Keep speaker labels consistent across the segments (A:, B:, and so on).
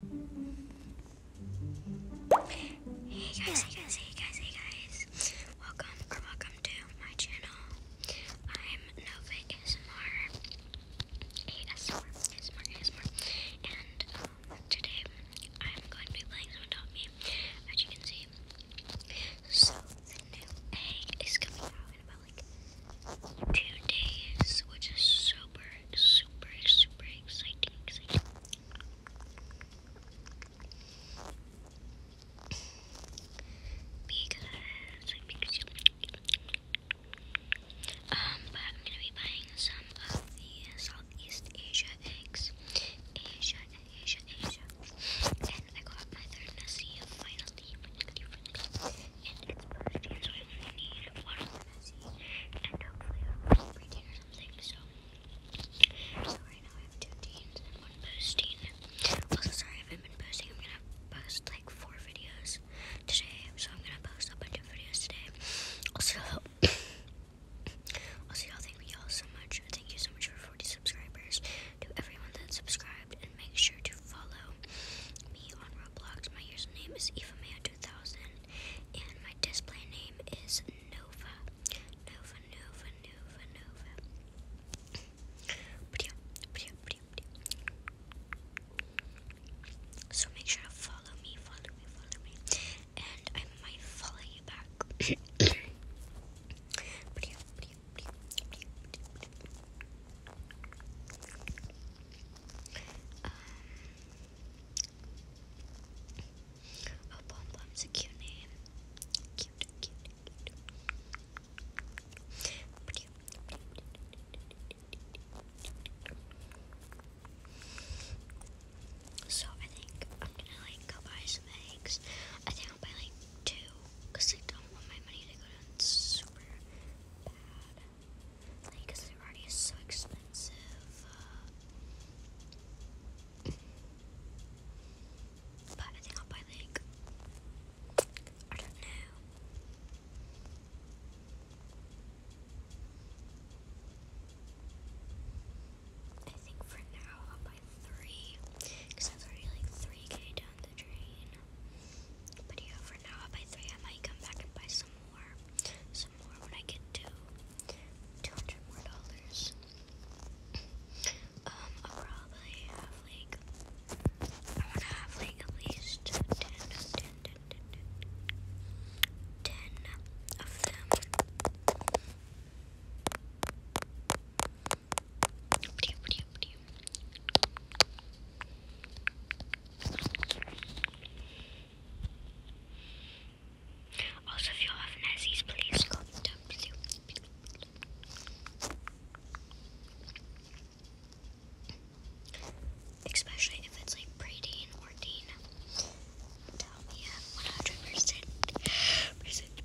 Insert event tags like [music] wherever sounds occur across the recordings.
A: Hey guys, hey guys, hey guys, hey guys. Welcome or welcome to my channel. I'm Nova ASMR. ASMR, ASMR, ASMR. And um, today I'm going to be playing some Adopt Me, as you can see. So, new egg is coming out in about like two days, which is super super, super exciting, exciting. Because I think it's um, but I'm gonna be buying some of the Southeast Asia eggs. Asia, Asia, Asia. And I got my third Nessie finally, finally, finally. And it's birthday, so I only need one and hopefully I'll be breaking or something. So, so right now I have two teams one posting. Also, sorry I haven't been posting. I'm gonna post like four videos today. So I'm gonna post a bunch of videos today. Also, [coughs] also y'all thank y'all so much. Thank you so much for 40 subscribers. To everyone that subscribed and make sure to follow me on Roblox. My username is EvaMaya2000, and my display name is Nova. Nova, Nova, Nova, Nova. So make sure to follow me, follow me, follow me, and I might follow you back. [coughs] Um, Oh, Pom Pom's a cute name. Cute, cute, cute. So I think I'm gonna like go buy some eggs. I think I'll buy like two, cause I don't want my money to go down super bad. Like, because already so expensive. Uh, but I think I'll buy, like, I don't know. I think for now I'll buy three, because that's already like 3k down the drain. But yeah, for now I'll buy three. I might come back and buy some more some more when I get to two hundred more dollars. Um, I'll probably have like I wanna have like at least 10, of them. Also, if you have Nazis, please contact you. Especially if it's like pre-teen or Dean, Tell me at uh, 100%. Percent, percent.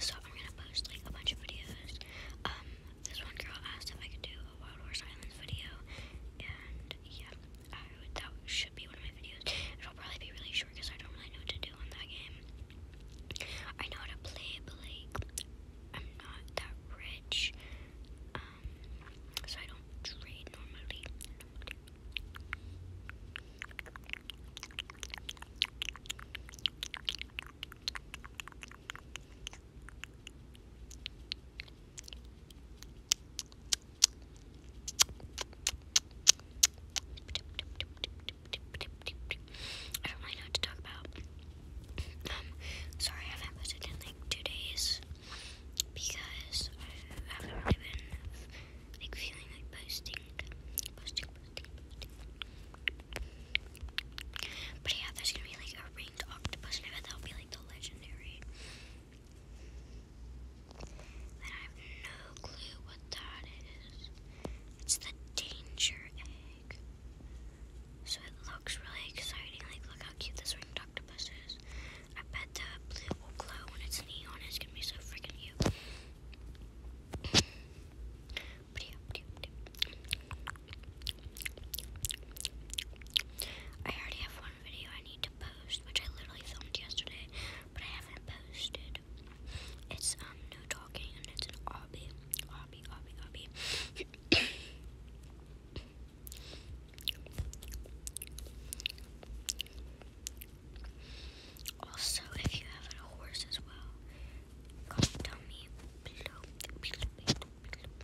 A: so I'm gonna post like a bunch of videos. Um, this one girl asked if I could do a Wild Horse Islands video, and yeah, that should be one of my videos. It'll probably be really short because I don't really know what to do on that game. I know how to play, but like, I'm not that rich, um, so I don't trade normally. I don't really know what to talk about. Um, sorry, I haven't posted in like two days because I haven't really been like feeling like posting, posting, posting, But yeah, there's gonna be like a ringed octopus, and I that'll be like the legendary. And I have no clue what that is. It's the danger egg. So it looks really exciting. Like, look how cute this ringed octopus is. I bet the blue will glow when it's neon. It's gonna be so freaking cute. I already have one video I need to post, which I literally filmed yesterday, but I haven't posted. It's um no talking and it's an obby, obby, obby, obby. Also, if you have a horse as well, comment down below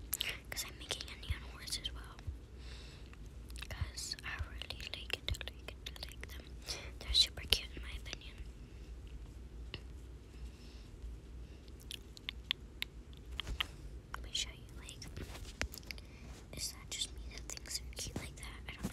A: because I'm making a neon horse as well. Because I really like like like them. They're super cute in my opinion. Let me show you, like, is that just me that thinks they're cute like that? I don't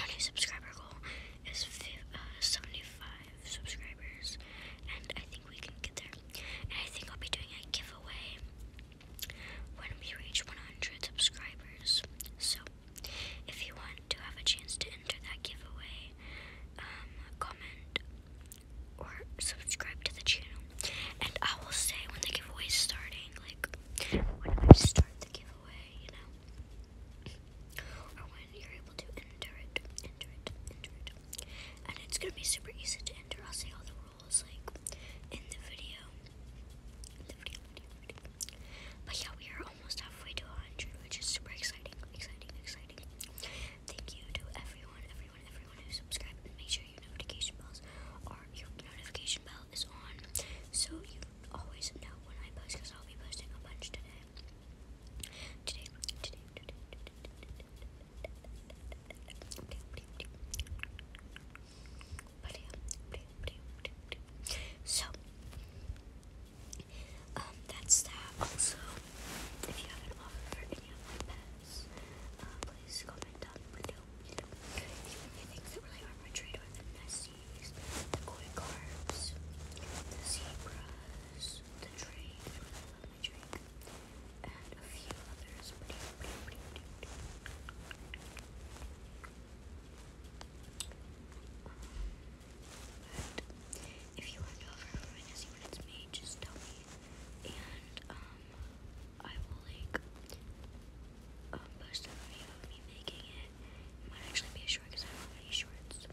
A: Our new subscriber goal is uh, 75 subscribers, and I think we can get there. And I think I'll be doing a giveaway when we reach 100 subscribers. So, if you want to have a chance to enter that giveaway, um, comment or subscribe to the channel, and I will say when the giveaway is starting like, when I start the giveaway, you know, or when you're able to enter it, enter it, enter it. And it's gonna be super easy to enter. I'll say all the rules, like, in the video. In the video, But yeah, we are almost halfway to 100, which is super exciting, exciting, exciting. Thank you to everyone, everyone, everyone who subscribed. make sure your notification bells are your notification bells is on, so you always know when I post because I'll be posting a bunch today. Today, today, today, today, today. So, um, that's that. Also, if you have an offer for any of my pets, uh, please comment down below. The things that really are my trade are the Nessies, the koi carps, the zebras, the drake, and a few others. Um, if you want to offer Nessie it's made, just tell me. Um, I will like um, post a video of me making it. It might actually be a short because I don't have any shorts.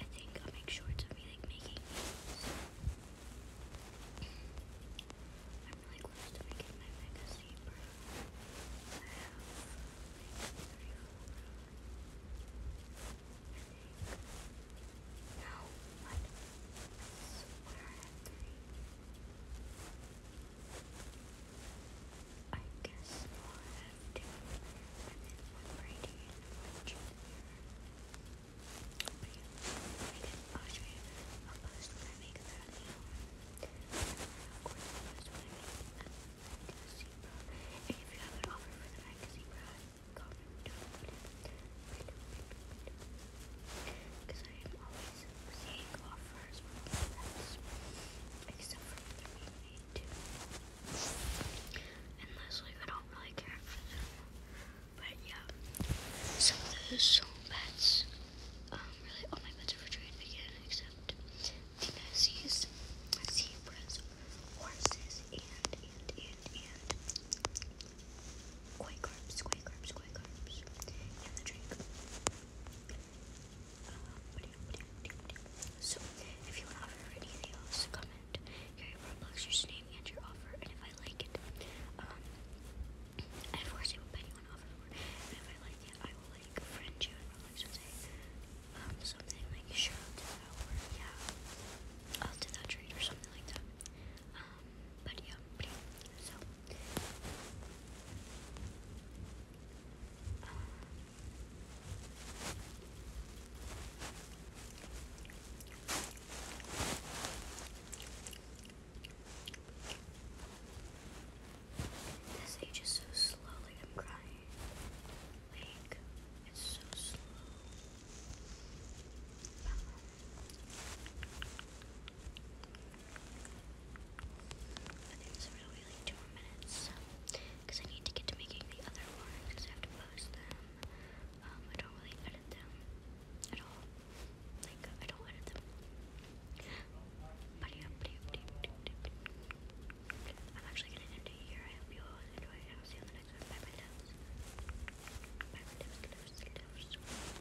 A: I think I'll make shorts of me like making I'm really close to my magazine, I guess we have to limit one right here I didn't post it. I'll post when I I'll post when I make that magazine if you have an offer for the magazine bro, comment because I am always seeing offers from events, except for maybe two. Unless, like, I don't really care for them. But yeah, some of those bets, um, really all my bets are for trade again, except the Nazis, zebras, horses, and, and, and, and. Koi carbs, koi carbs, koi carbs in the drink. you offer anything else, comment your Roblox and your offer, and if I like it, um, and of course I will pay you an offer for it, and if I like it, I will, like, friend you and say, um, something like, sure, I'll do that, or, yeah, I'll do that trade, or something like that. Um, but yeah, so this age so slow, I'm crying. Like it's so slow. I because I need to get to making the other ones because I have to post them. Um, I don't really edit them at all. Like I don't edit them. I'm actually gonna end here. I hope you all enjoyed, I'll see you on the next one. Bye, my loves. Bye, my loves, loves, loves.